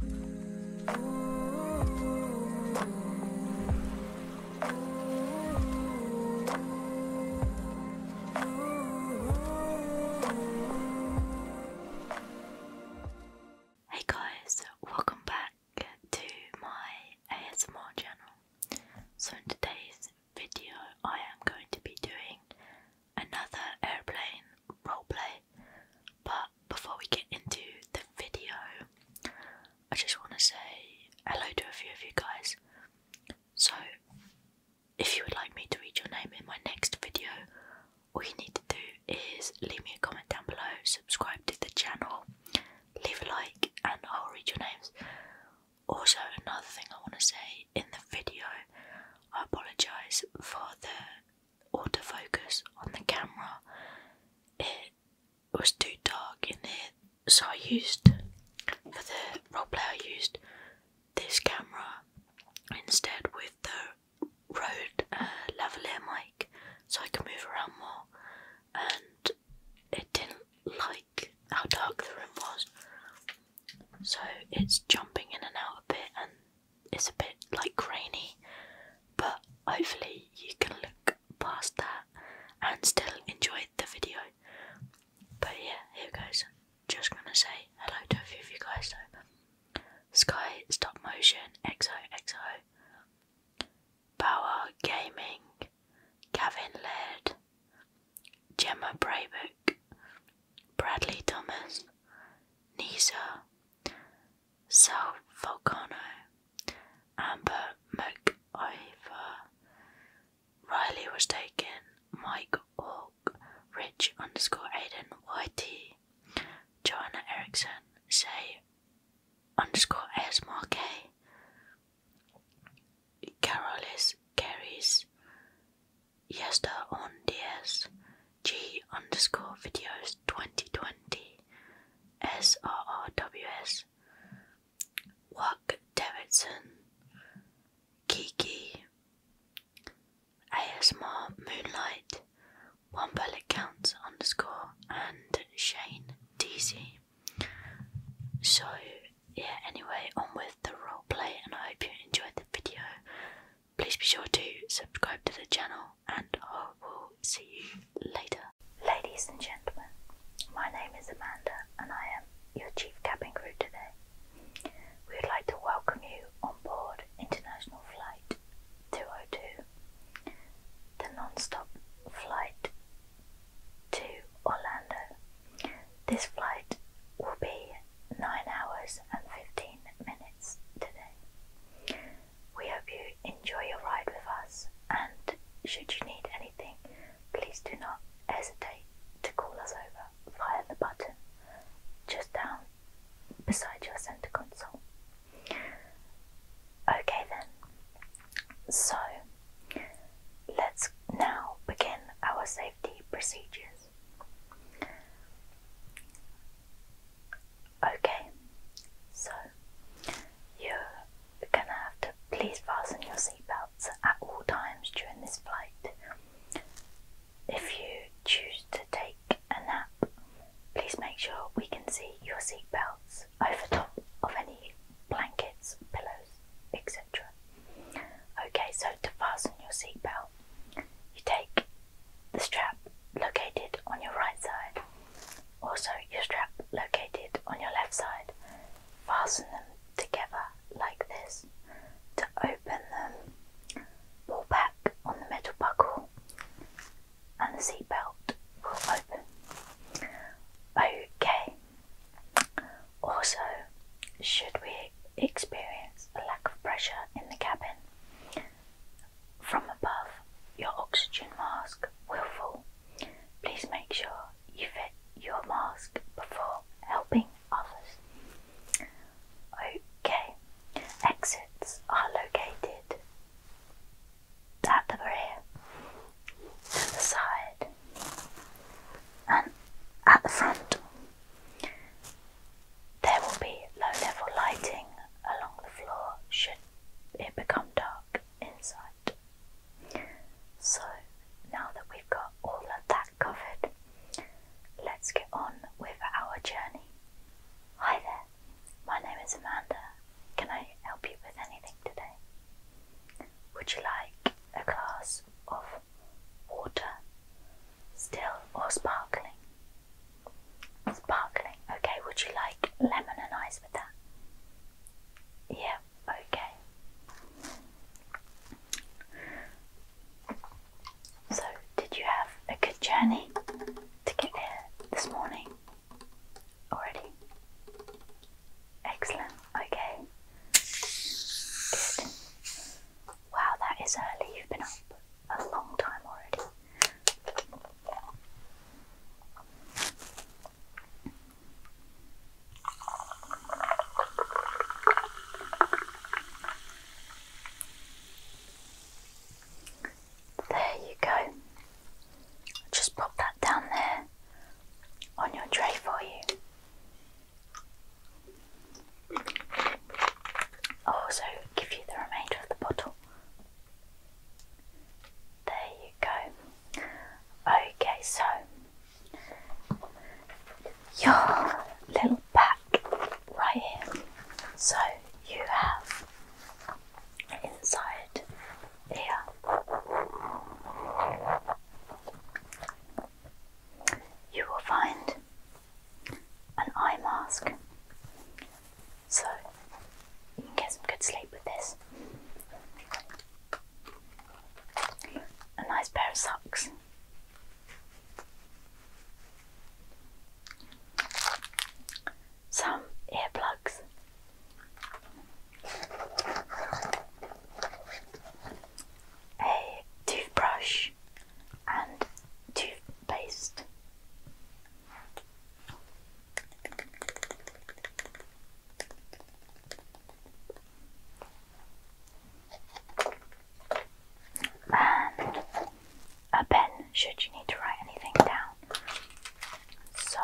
Hey guys, welcome back to my ASMR channel. So, in today's video, I am going to be doing another airplane roleplay, but before we get into the video, I just want to say hello to a few of you guys. So, if you would like me to read your name in my next video, all you need to do is leave me a comment down below, subscribe to the channel, leave a like, and I'll read your names. Also, another thing I want to say in the video, I apologise for the autofocus on the camera. It was too dark in here, so I used for the roleplay. I used this camera instead with the Rode uh, lavalier mic, so I can move around more. And it didn't like how dark the room was, so it's jumping in and out a bit it's a bit like grainy, but hopefully you can look past that and still enjoy the video. But yeah, here goes. Just gonna say hello to a few of you guys though. Sky Stop Motion, Exo Exo, Power Gaming, Gavin Led, Gemma Braybrook, Bradley Thomas, Nisa, so Volcano, Amber McIver, Riley was taken, Mike Ork, Rich underscore Aiden YT, Joanna Erickson, say underscore S Mark, Carolis Carries, Yester on DS G underscore videos 2020 SRRWS Wack Davidson Kiki ASMR Moonlight One Bullet Counts underscore and Shane DC. So yeah anyway on with the role play, and I hope you enjoyed the video. Please be sure to subscribe to the channel, and I will see you later. Ladies and gentlemen, my name is Amanda, and I am your chief cabin crew today. We would like to welcome you on board International Flight 202, the non stop flight to Orlando. This flight will be 9 hours and 15 minutes today. We hope you enjoy your ride with us, and should you need anything, please do not hesitate to call us over via the button just down beside your centre console. Okay, then, so let's now begin our safety procedures. Okay, so you're gonna have to please fasten your seatbelts at all times during this flight. If you choose to take a nap, please make sure we can see your seatbelts over top of any blankets, pillows, etc. Okay, so to fasten your seatbelt, you take the strap located on your right side, also your strap located on your left side, fasten them together like this. To open them, pull back on the metal buckle, and the seatbelt will open. Okay. Also, should we experience a lack of pressure in the cabin. From above, your oxygen mask will fall. Please make sure you fit your mask before helping others. Okay, exits are located at the rear, at the side, and at the front. There will be low level lighting along the floor should it become dark inside. So now that we've got all of that covered, let's get on with our journey. Hi there, my name is Amanda. Can I help you with anything today? Would you like a glass water, still or sparkling? Sparkling. Okay, would you like lemon and ice with that? Yeah, okay. So, did you have a good journey to get here this morning already? Excellent, okay. Wow, that is early. You've been up a long time already. There you go. Just pop that down there on your tray for you also give you the remainder of the bottle. There you go. Okay, so your little pack right here. So you have inside here you will find an eye mask. So you can get some good sleep with this. A nice pair of socks. Some earplugs a toothbrush and toothpaste. And a pen, should you need to write anything down. So,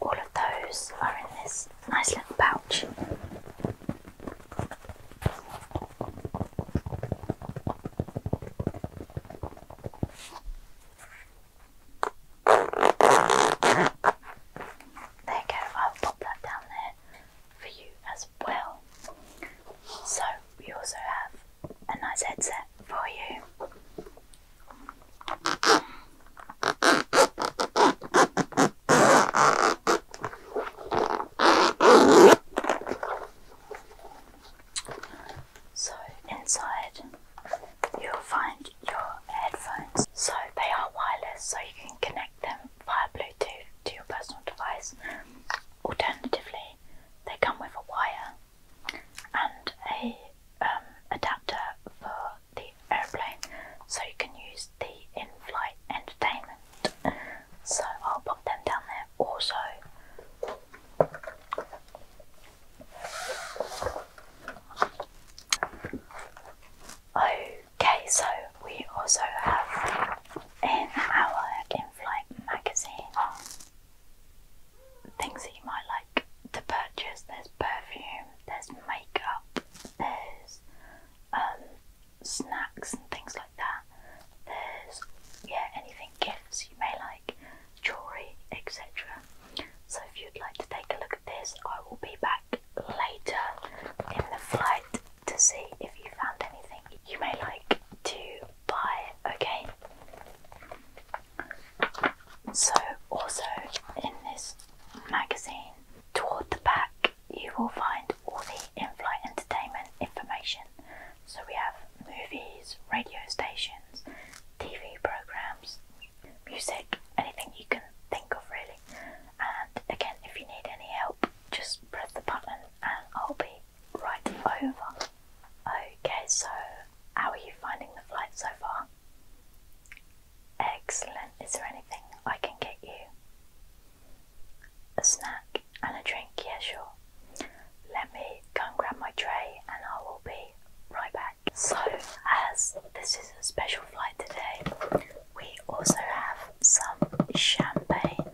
all of those are in this nice little pouch. There you go, I'll pop that down there for you as well. So, we also have a nice headset for you. So, inside you'll find your headphones. So, they are wireless, so you can connect them via Bluetooth to your personal device. Alternatively, they come with a wire and a um, adapter for the airplane, so you can use the in-flight entertainment. So I'll pop them down there. Also, okay. So we also have in our in-flight magazine things that you might like to purchase. There's perfume, there's makeup, there's um, snacks and things like that. There's yeah, anything gifts you may like, jewelry, etc. So if you'd like to take a look at this, I will be back later in the flight to see if you found anything you may like to buy. Okay. So, also in this magazine, toward the back, you will find all the in flight entertainment information. So, we have movies, radio stations, TV programs, music, anything you can think of, really. And again, if you need any help, just press the button and I'll be right over. Okay, so how are you finding the flight so far? Excellent. Is there anything I can get you? A snack and a drink, yeah, sure. Let me go and grab my tray and I will be right back. So, as this is a special flight today, we also have some champagne.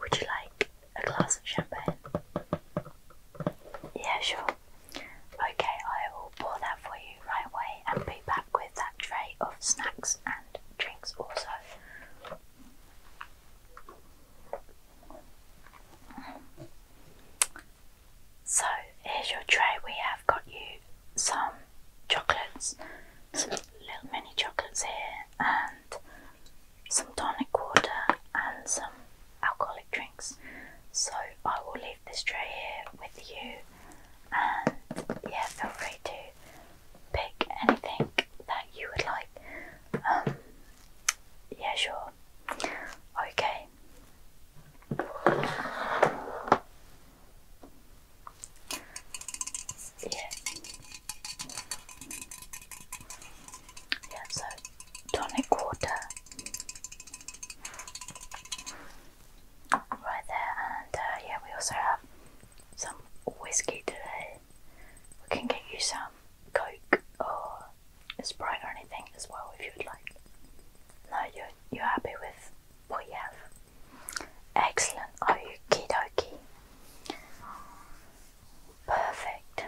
Would you like a glass of champagne? Yeah, sure. Okay, I will pour that for you right away and be back with that tray of snacks and drinks also. So, here's your tray. We have got you some chocolates, some little mini chocolates here, and some tonic water and some alcoholic drinks. So I will leave this tray here with you, and yeah, feel free to pick anything that you would like. Um, yeah, sure. Okay. Yeah. Yeah, so tonic water right there, and uh, yeah, we also have some whiskey We can get you some Coke or Sprite or anything as well if you'd like. No, you're, you happy with what you have. Excellent. Okie dokie. Perfect.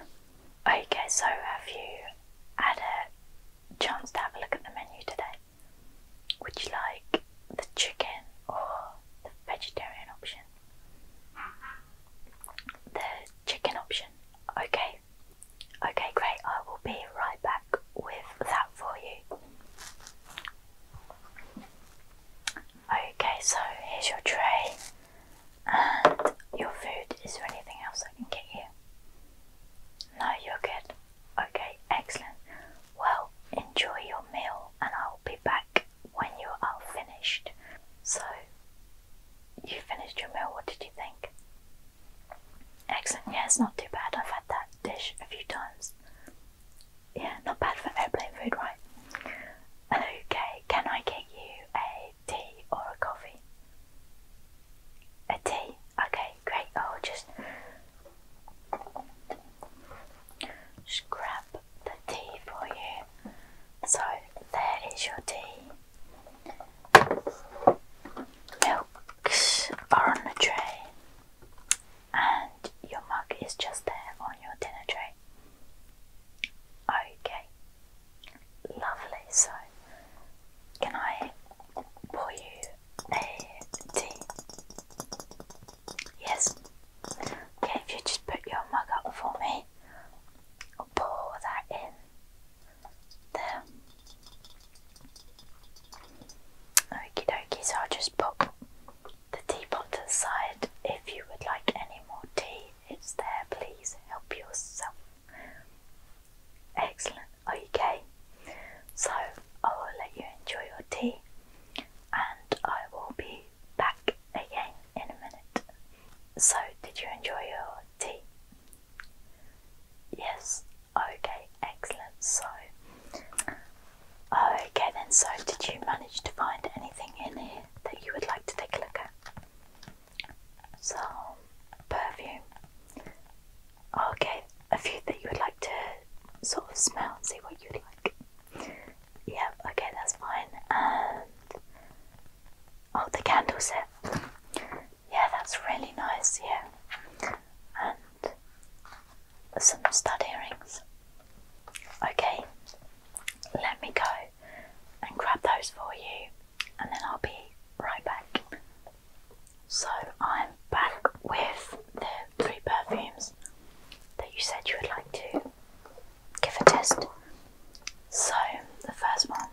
Okay, so have you had a chance to have a look at the menu today? Would you like the chicken or the vegetarian option? The chicken option. Okay. Okay, great. I will be right back with that for you. Okay, so here's your tray. And your food, is there anything else I can get you? No, you're good. Okay, excellent. Well, enjoy your meal and I'll be back when you are finished. So, you finished your meal, what did you think? Excellent, yeah, it's not too bad. I've had that dish a few times. Yeah, not bad for airplane food, right? Okay, can I get you a tea or a coffee? A tea? Okay, great. I'll just scrap the tea for you. So there is your tea. Milks are on the tray, and your mug is just there on your dinner tray. Okay, lovely. So, can I pour you a tea? Yes. Okay, if you just put your mug up for me, I'll pour that in there. Okie dokie, so I'll just pop the teapot to the side. If you would like any more tea, it's there. Please help yourself. Excellent. Okay. So I will let you enjoy your tea and I will be back again in a minute. So, did you enjoy your tea? Yes. Okay. Excellent. So, okay then. So, did you manage to find anything in here? that you would like to take a look at. some perfume. Okay, a few that you would like to sort of smell and see what you'd like. Yeah, okay, that's fine. And oh, the candles, Yeah, that's really nice. Yeah, and some stud earrings. Okay, let me go and grab those for you, and then I'll be right back. So, I'm back with the three perfumes that you said you would like to give a test. So, the first one,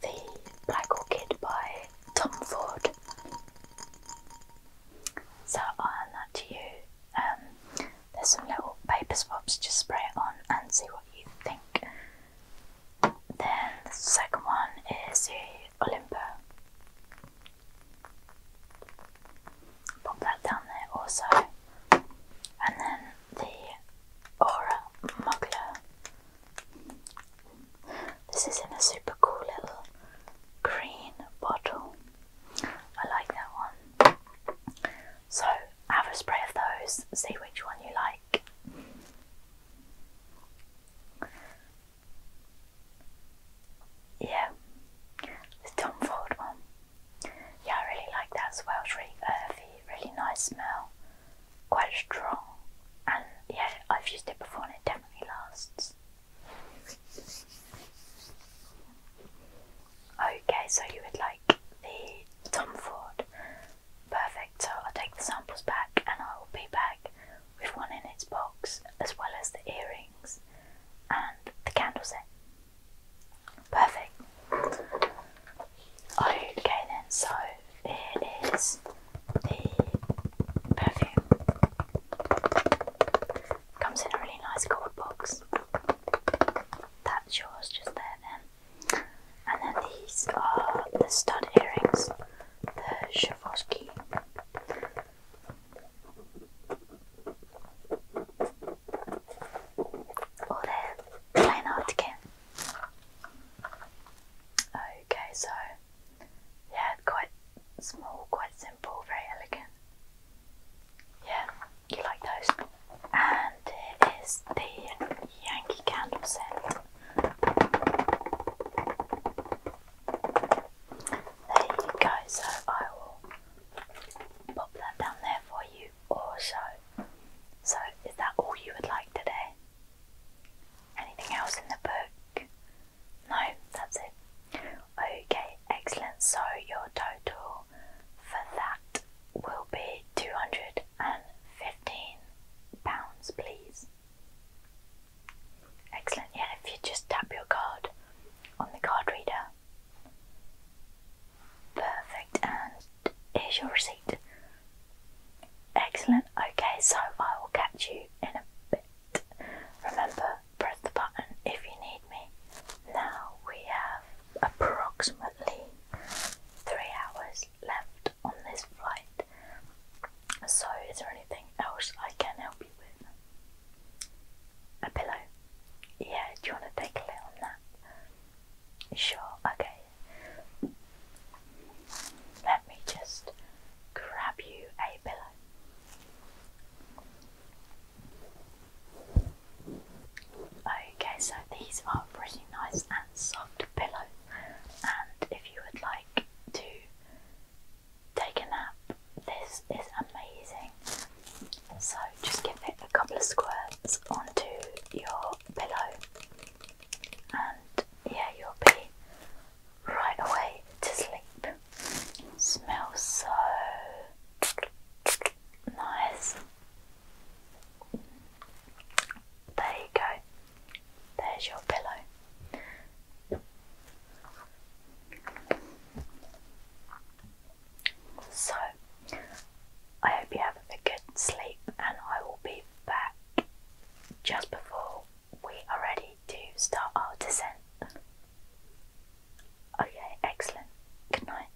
the Black Orchid by Tom Ford. So, I'll hand that to you. Um, there's some little paper swabs, just spray it on and see what you think. Then the second one is the Olympo. Pop that down there also. And then the Aura Muggler. This is in a super cool little green bottle. I like that one. So have a spray of those, see which one you like. Yeah, the Tom Ford one. Yeah, I really like that as well. It's really earthy, really nice smell, quite strong, and yeah, I've used it before and it definitely lasts. Okay, so you would like the Tom Ford. Perfect, so I'll take the samples back and I will be back with one in its box, as well as the earrings and the candle set. Perfect. Okay, then, so it is the perfume. Comes in a really nice gold box. That's yours just there then. And then these are the stud earrings, the Swarovski. Or oh, they're plain art again. Okay, so yeah, quite small, quite simple, very elegant. Yeah, you like those. And here is the Yankee candle scent. There you go, so I will pop that down there for you also. So, is that all you would like today? Anything else in the book? No, that's it. Okay, excellent. So your total for that will be £215, please. Excellent. Yeah, if you just tap your card on the card reader. Perfect. And here's your receipt. Excellent. Okay, so I will catch you in a bit. Remember, press the button if you need me. Now we have approximately three hours left on this flight. So, is there anything else I can help you with? A pillow? Yeah, do you want to take a lay on that? Sure, okay. Let me just grab you a pillow. Okay, so these are pretty nice and soft pillows, and if you would like to take a nap, this is amazing. So just give it a couple of squirts onto your pillow, and yeah, you'll be right away to sleep. Smells so nice. There you go. There's your pillow. So, I hope you have a good sleep, and I will be back just before we are ready me to start our descent? Okay, excellent. Good night.